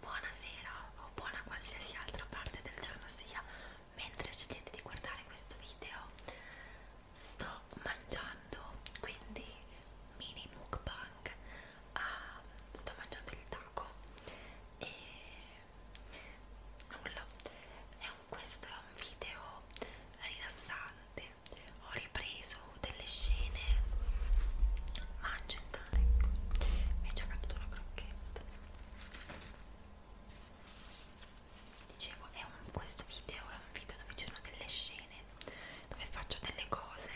buonasera o buona qualsiasi altra parte del giorno sia mentre scegliete di guardare questo video sto mangiando quindi mini mukbang ah, sto mangiando il taco e nulla è un, questo è un video rilassante ho ripreso delle scene mangio accidentale ecco mi è già caduta una crocchetta dicevo è un, questo video è un video dove ci sono delle scene dove faccio delle cose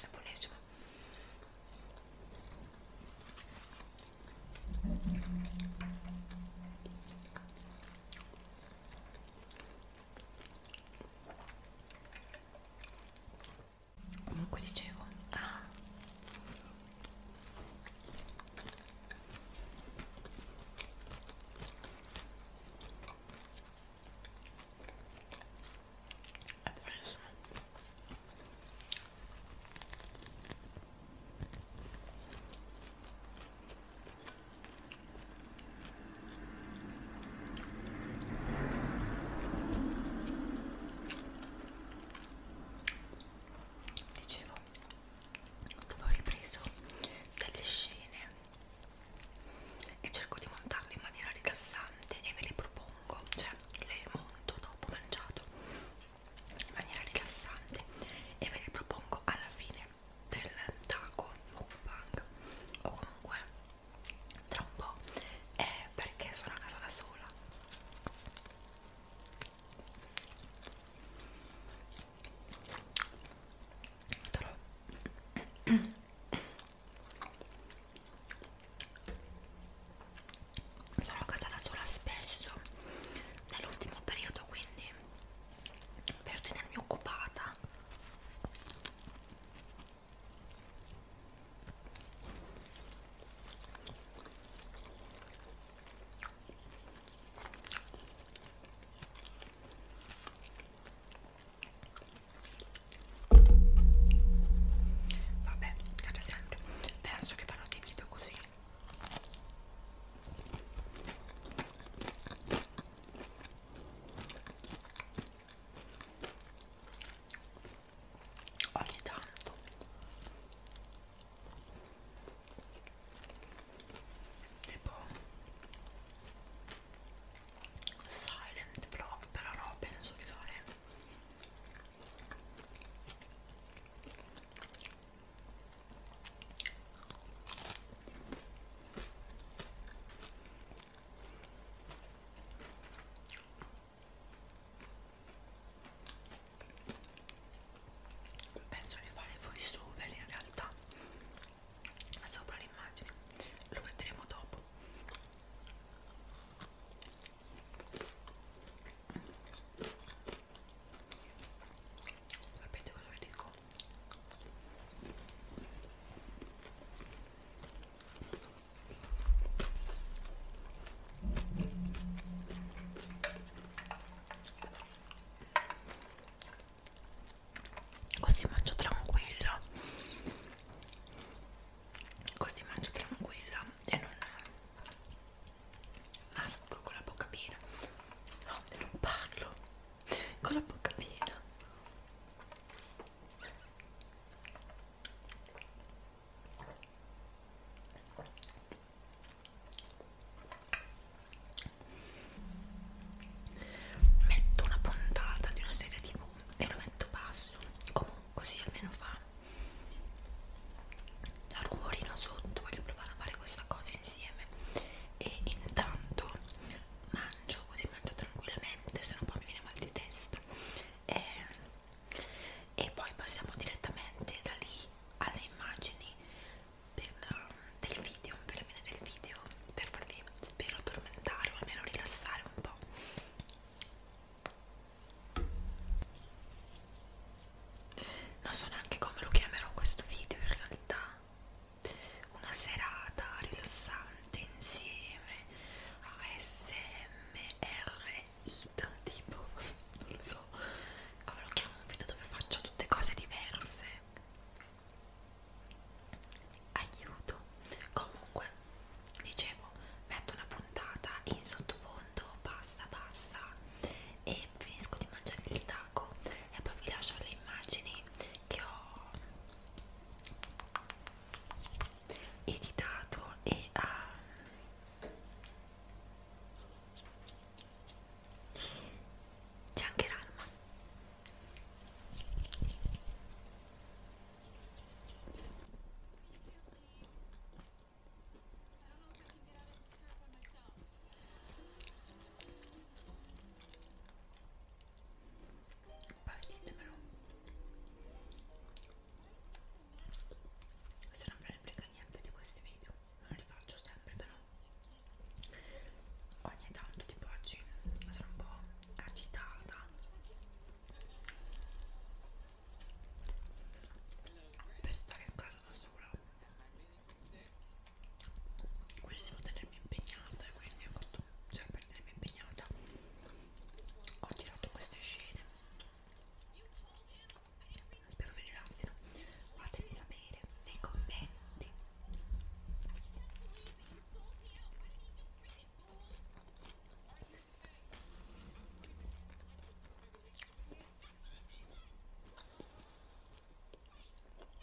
è buonissimo comunque dicevo ah. è preso dicevo che ho ripreso delle scene e cerco di montarle in maniera rilassante e ve le propongo cioè le monto dopo mangiato in maniera rilassante e ve le propongo alla fine del taco mukbang o comunque tra un po' è perché sono a casa da sola Tro sono a casa da sola spesso nell'ultimo periodo quindi per tenermi occupata Vabbè, cade sempre. Penso che farò dei video così ogni tanto tipo silent vlog però no penso di fare penso di fare voice over in realtà sopra l'immagine lo vedremo dopo sapete cosa vi dico Così mangio tranquilla. Così mangio tranquilla e non mastico con la bocca piena. No, non parlo con la bocca piena metto una puntata di una serie tv e lo metto basso comunque così almeno fa la rumorino sotto voglio provare a fare questa cosa insieme e intanto mangio così mangio tranquillamente se no poi mi viene mal di testa e, e poi passiamo direttamente da lì alle immagini per, um, del video per la fine del video per farvi spero addormentare o almeno rilassare un po' non so neanche come lo chiamerò questo video in realtà una serata rilassante insieme a SMR Ita, tipo, non lo so, come lo chiamo un video dove faccio tutte cose diverse. Aiuto. Comunque, dicevo, metto una puntata in sottofondo, bassa, bassa, e finisco di mangiare il taco e poi vi lascio le immagini che ho editato e a c'è anche l'alma poi ditemelo se non ve ne frega niente di questi video non li faccio sempre però ogni tanto tipo oggi sono un po' agitata per stare in casa da sola quindi devo tenermi impegnata e quindi ho fatto cioè per essermi impegnata ho girato queste scene spero vi rilassino fatemi sapere nei commenti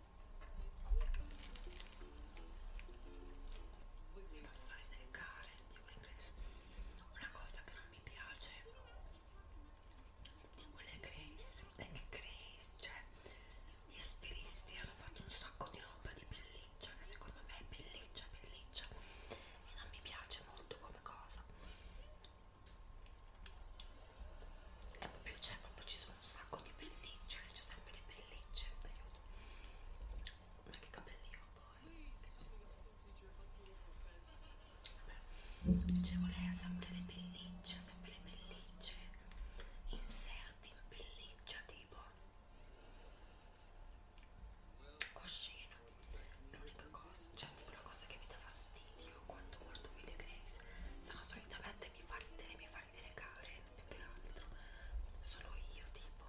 non fare delle care di quell'ingresso una cosa che non mi piace di quelle Grace è che Grace cioè gli stilisti hanno fatto un sacco di roba di pelliccia che secondo me è pelliccia pelliccia e non mi piace molto come cosa e proprio, cioè, proprio ci sono sono un sacco di pellicce, c'è sempre le pellicce, aiuto. Ma che capelli ho poi? Vabbè, ci cioè, voleva sempre le pellicce, sempre le pellicce, inserti in pelliccia tipo osceno. L'unica cosa, cioè tipo la cosa che mi dà fastidio quando guardo video Grace sono solitamente mi fa ridere, mi fa far vedere Karen più che altro sono io tipo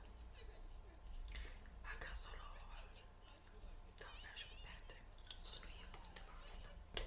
a caso lo no, lasciamo perdere sono io punto basta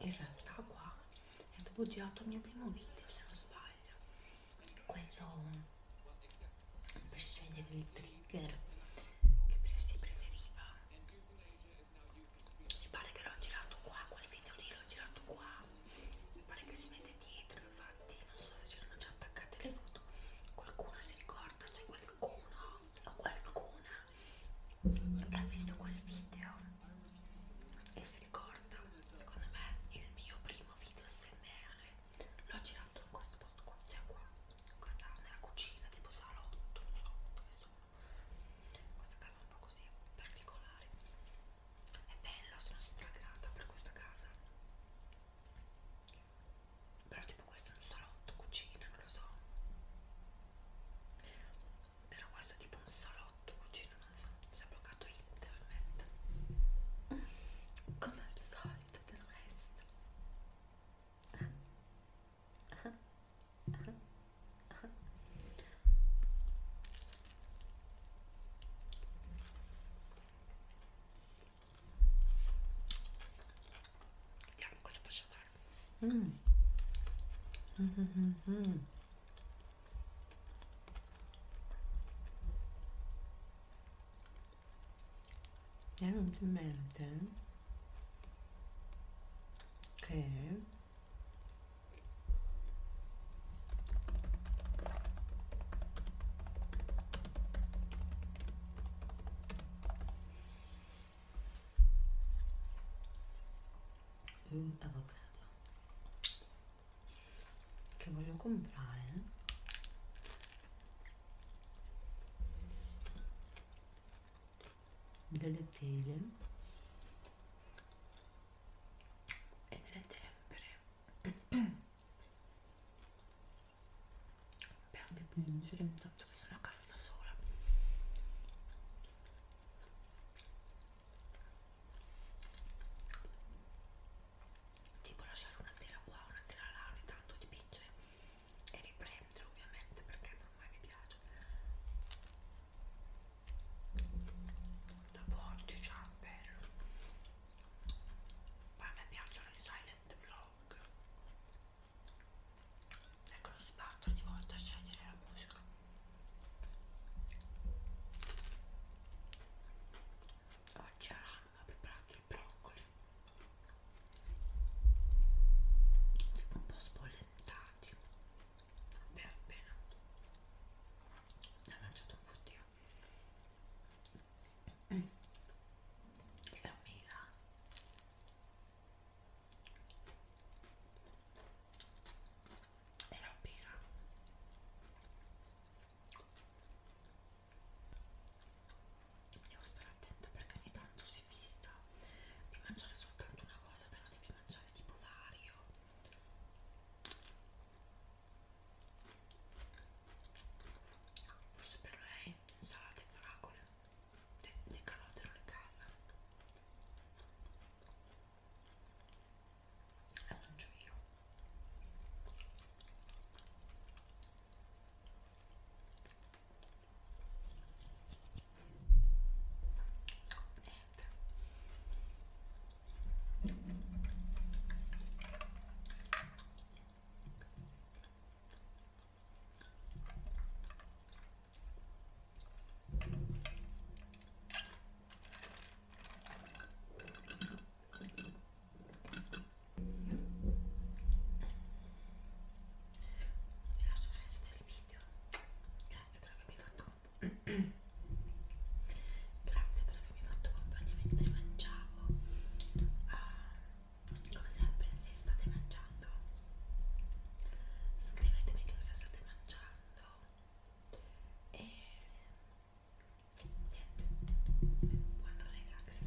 in realtà qua è dove ho girato il mio primo video se non sbaglio quello per scegliere il trigger che si preferiva mi pare che l'ho girato qua quel video lì l'ho girato qua mi pare che si vede dietro infatti non so se c'erano già attaccate le foto qualcuno si ricorda c'è qualcuno o qualcuna che ha visto quel video e si ricorda secondo me il mio primo video smr l'ho girato in questo posto qua cioè qua questa nella cucina tipo salotto non so dove sono questa casa un po' così particolare è bella sono stragrata per questa casa però tipo questo è un salotto, cucina, non lo so però questo è tipo un salotto, cucina, non lo so si è bloccato internet come al solito del resto ah. Ah. Ah. Ah. Vediamo cosa posso fare Mm. Mm -hmm -hmm -hmm. 다음 Mm, avocado che voglio comprare delle tele e delle tempere per anche piangere tanto che sono a casa da sola tipo lasciare una tela qua una tela là ogni tanto dipingere e riprendere ovviamente perché ormai mi piace dopo oggi ciao bello poi a me piacciono i silent vlog Ecco lo sbatto ogni volta a scegliere la musica. Oggi a Rama ho preparato il broccoli. Un po' spollentati. Bene, bene. Ne ho mangiato un fottino. Mm. E la mela era appena devo stare attenta perché ogni tanto si fissa di mangiare soltanto una cosa però devi mangiare tipo vario forse per lei insalata e fragole le, le calotte non le calla e mangio io niente vi lascio nel resto del video. Grazie per avermi fatto Grazie per avermi fatto compagnia mentre mangiavo. Uh, come sempre se state mangiando scrivetemi che cosa state mangiando e niente buon relax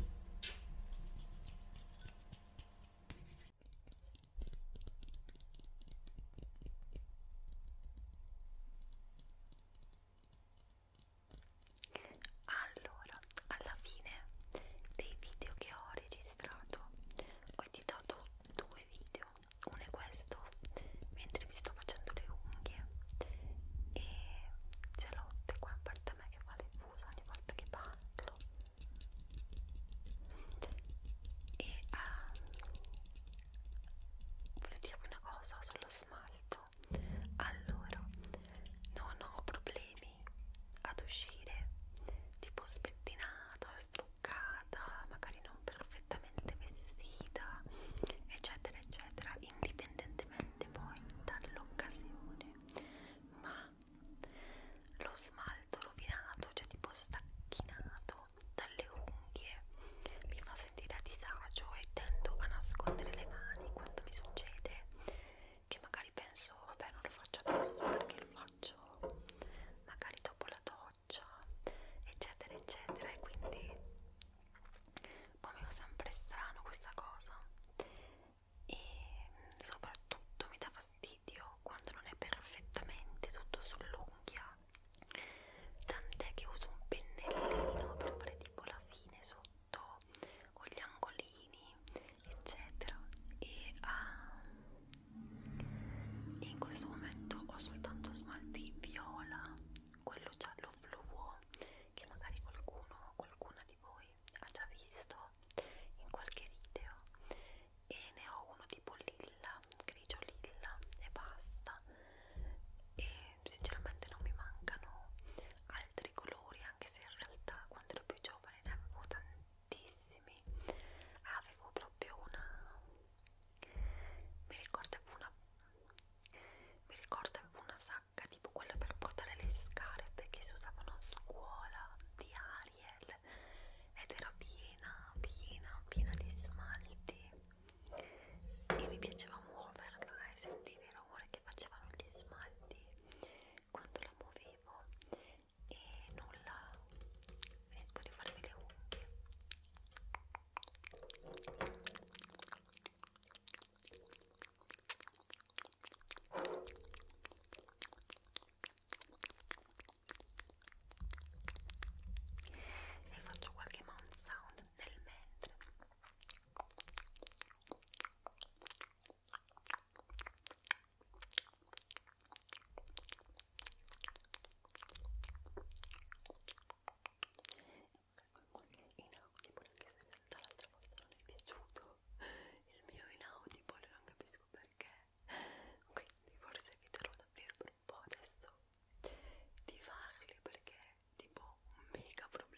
allora alla fine dei video che ho registrato registrato ho editato due video uno è questo mentre mi sto facendo le unghie e c'è Lotte qua in parte a me che fa le fusa ogni volta che parlo e um, ehm, volevo dirvi una cosa sullo smalto allora non ho problemi problemi ad uscire tipo spettinata, struccata, magari non perfettamente vestita, eccetera, eccetera, indipendentemente poi dall'occasione. Ma lo smalto rovinato, cioè tipo stacchinato dalle unghie, mi fa sentire a disagio e tendo a nascondere le mani quando mi succede che magari penso vabbè non lo faccio adesso perché lo faccio magari dopo la doccia eccetera eccetera e quindi poi mi fa sempre strano questa cosa e soprattutto mi dà fastidio quando non è perfettamente tutto sull'unghia tant'è che uso un pennellino per fare tipo la fine sotto o gli angolini eccetera e uh, in questo momento ho soltanto smalti viola quello giallo fluo che magari qualcuno qualcuna di voi ha già visto in qualche video e ne ho uno tipo lilla grigio lilla e basta e sinceramente non mi mancano altri colori anche se in realtà quando ero più giovane ne avevo tantissimi tantissimi ah, avevo proprio una mi ricordo avevo una mi ricordo avevo una sacca tipo quella per portare le scarpe che si usavano a scuola di Ariel ed era piena piena piena di smalti e mi piaceva muoverla e sentire il rumore che facevano gli smalti quando la muovevo e nulla finisco di farmi le unghie e faccio qualche mouth sound nel mentre Inaudible, anche se dall'altra volta non è piaciuto il mio inaudible, non capisco perché. Quindi forse eviterò davvero per un po' adesso di farli perché è tipo un mega problema.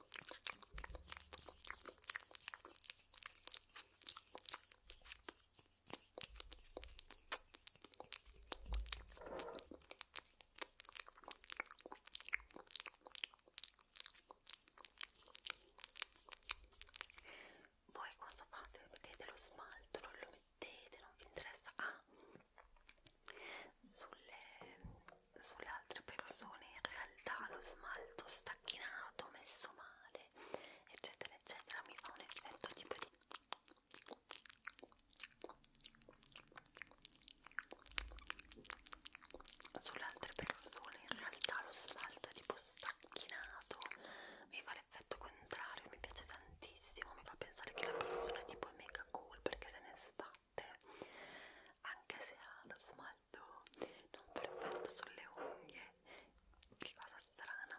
Voi quando fate, mettete lo smalto, non lo mettete, non vi interessa. Ah, sulle sulle altre persone in realtà lo smalto stacchinato, messo male, eccetera, eccetera, mi fa un effetto tipo di sulle altre persone in realtà lo smalto è tipo stacchinato mi fa l'effetto contrario mi piace tantissimo mi fa pensare che la persona tipo è mega cool perché se ne sbatte anche se ha lo smalto caldo, non perfetto sulle unghie. Che cosa strana.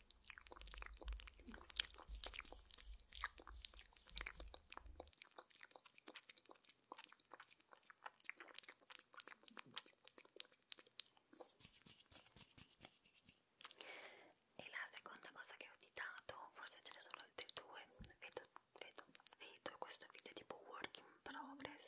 E la seconda cosa che ho citato, forse ce ne sono altre due, vedo, vedo, vedo questo video tipo work in progress.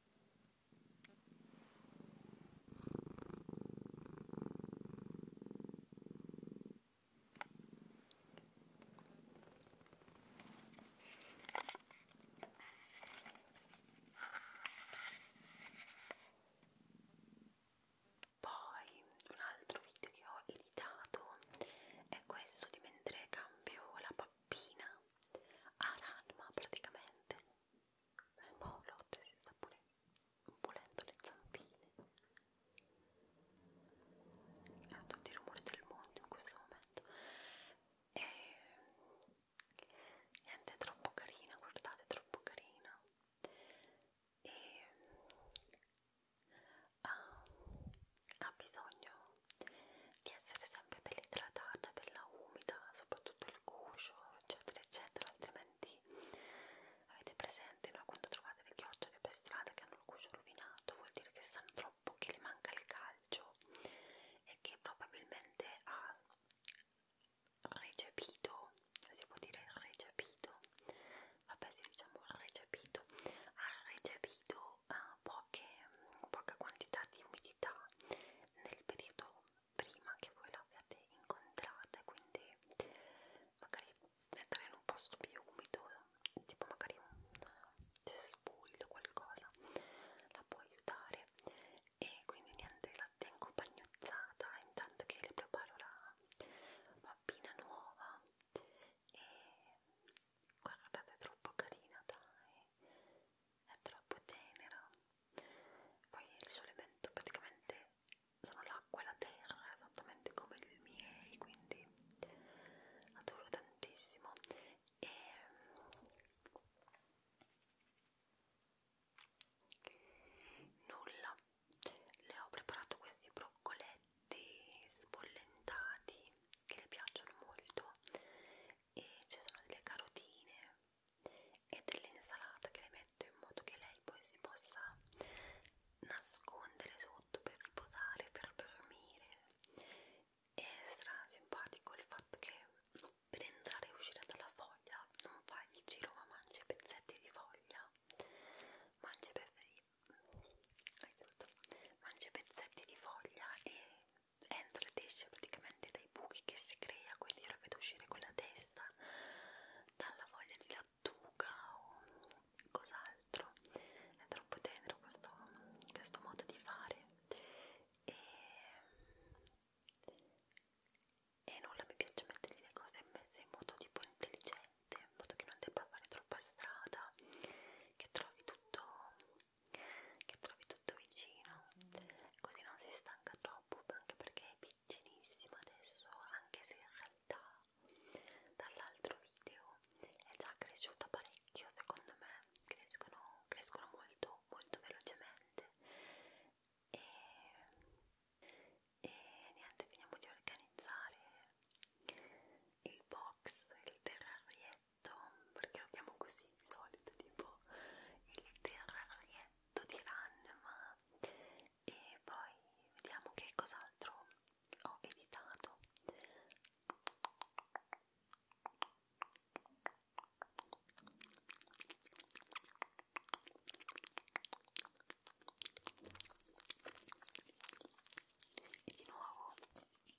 Poi un altro video che ho editato è questo di mentre cambio la pappina ha l'anima praticamente e eh, boh, Lotte si sta pure pulendo le zampine ha tutti i rumori del mondo in questo momento e niente, è troppo carina, guardate, è troppo carina e ha, ah, ha bisogno di essere sempre bella idratata, bella umida, soprattutto il guscio, eccetera, eccetera, altrimenti avete presente no? quando trovate le chiocciole per strada che hanno il guscio rovinato, vuol dire che sanno troppo, che le manca il calcio e che probabilmente ha recepito, si può dire recepito, vabbè si diciamo recepito, ha recepito uh, poche, poca quantità di umidità nel periodo prima che voi l'abbiate incontrata, quindi magari mettere in un posto più umido, tipo magari un cespuglio eh, o qualcosa, la può aiutare. E quindi niente, la tengo bagnozzata intanto che le preparo la bambina nuova. E guardate, è troppo carina, dai! è troppo tenera poi il suo elemento praticamente sono l'acqua e la terra esattamente come i miei quindi adoro tantissimo e ehm, nulla le ho preparato questi broccoletti sbollentati che le piacciono molto e ci sono delle carotine e dell'insalata che le metto in modo che lei poi si possa nascondere sotto per riposare, per dormire. È stra simpatico il fatto che per entrare e uscire dalla foglia non fai il giro ma mangi i pezzetti di foglia, mangi pezzetti, mm, aiuto, mangi pezzetti di foglia e entra ed esce praticamente dai buchi che si crea, quindi io la vedo uscire con la testa dalla voglia di lattuga o cos'altro. È troppo tenero questo, questo modo di fare e, e nulla mi piace mettergli le cose messe in modo tipo intelligente, in modo che non debba fare troppa strada, che trovi tutto che trovi tutto vicino così non si stanca troppo anche perché è piccinissima adesso anche se in realtà dall'altro video è già cresciuta parecchio secondo me crescono, crescono molto molto velocemente e, e niente finiamo di organizzare il box, il terrarietto questo perché lo chiamo così di solito tipo il terrarietto di Ranma e poi vediamo che cos'altro ho editato e di nuovo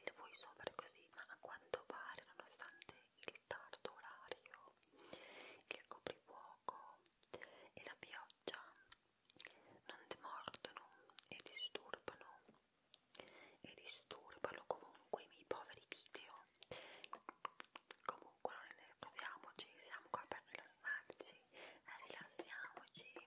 il voi sopra così, ma a quanto pare, nonostante il tardo orario, il coprifuoco e la pioggia non demordono e disturbano e disturbano comunque i miei poveri video. Comunque non rilassiamoci, siamo qua per rilassarci, rilassiamoci.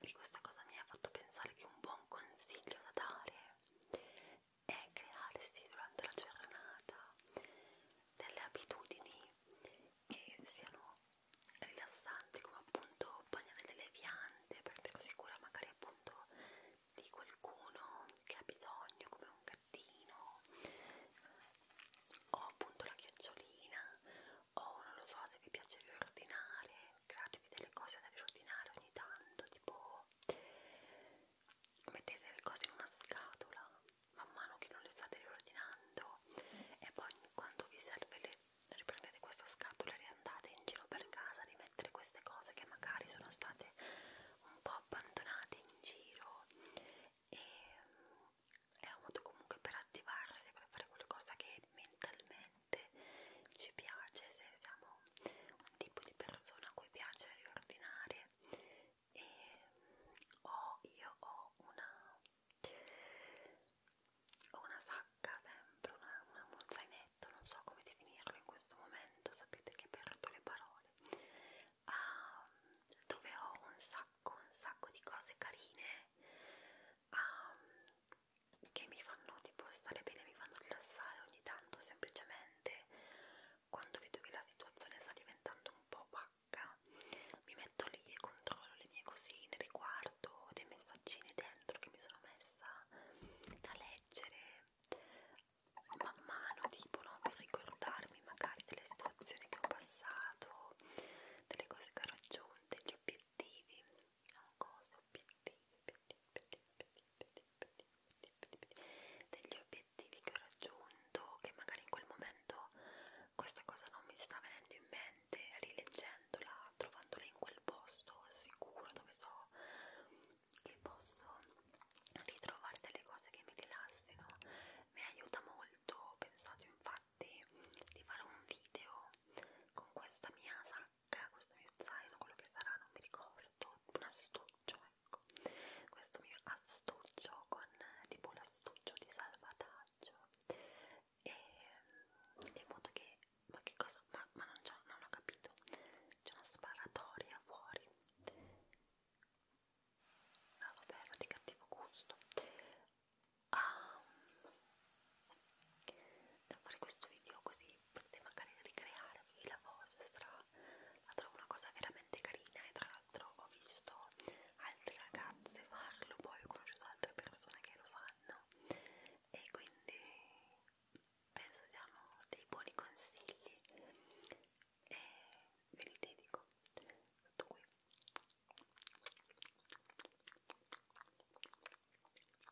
e questa cosa mi ha fatto pensare che un buon consiglio da dare è crearsi durante la giornata delle abitudini che siano rilassanti come appunto bagnare delle piante, prendersi cura magari appunto di qualcuno che ha bisogno come un gattino o appunto la chiocciolina o oh, non lo so se vi piace riordinare, createvi delle cose da riordinare ogni tanto, tipo mettete le cose in una scatola man mano che non le state riordinando e poi quando vi serve le riprendete questa scatola e riandate in giro per casa a rimettere queste cose che magari sono state un po' abbandonate in giro e mm, è un modo comunque per attivarsi per fare qualcosa che mentalmente sicuramente ci piace se siamo un tipo di persona a cui piace riordinare e mm, ho, io ho una ho una sacca sempre, una, una, un zainetto, non so come definirlo in questo momento, sapete che perdo le parole, um, dove ho un sacco, un sacco di cose carine um, che mi fanno tipo stare bene, mi fanno rilassare ogni tanto semplicemente quando vedo che la situazione sta diventando un po' pacca mi metto lì e controllo le mie cosine, riguardo dei messaggini dentro che mi sono messa da leggere man mano tipo no? per ricordarmi magari delle situazioni che ho passato, delle cose che ho raggiunto, gli obiettivi obiettivi, obiettivi, obiettivi, obiettivi, obiettivi, obiettivi, obiettivi, degli obiettivi che ho raggiunto, che magari in quel momento questa cosa non mi sta venendo in mente, rileggendola, trovandola in quel posto sicuro dove so che posso ritrovare delle cose che mi rilassino, mi aiuta molto, ho pensato infatti di fare un video con questa mia giacca, questo mio zaino, quello che sarà, non mi ricordo, un astuccio, ecco, questo mio astuccio con tipo l'astuccio di salvataggio e in modo che, ma che cosa, ma, ma non, non ho capito, c'è una sparatoria fuori, no ah, vabbè era di cattivo gusto, ah, per fare questo video così potete magari ricrearvi la vostra la trovo una cosa veramente carina e tra l'altro ho visto altre ragazze farlo poi ho conosciuto altre persone che lo fanno e quindi penso siano dei buoni consigli e ve li dedico tutto qui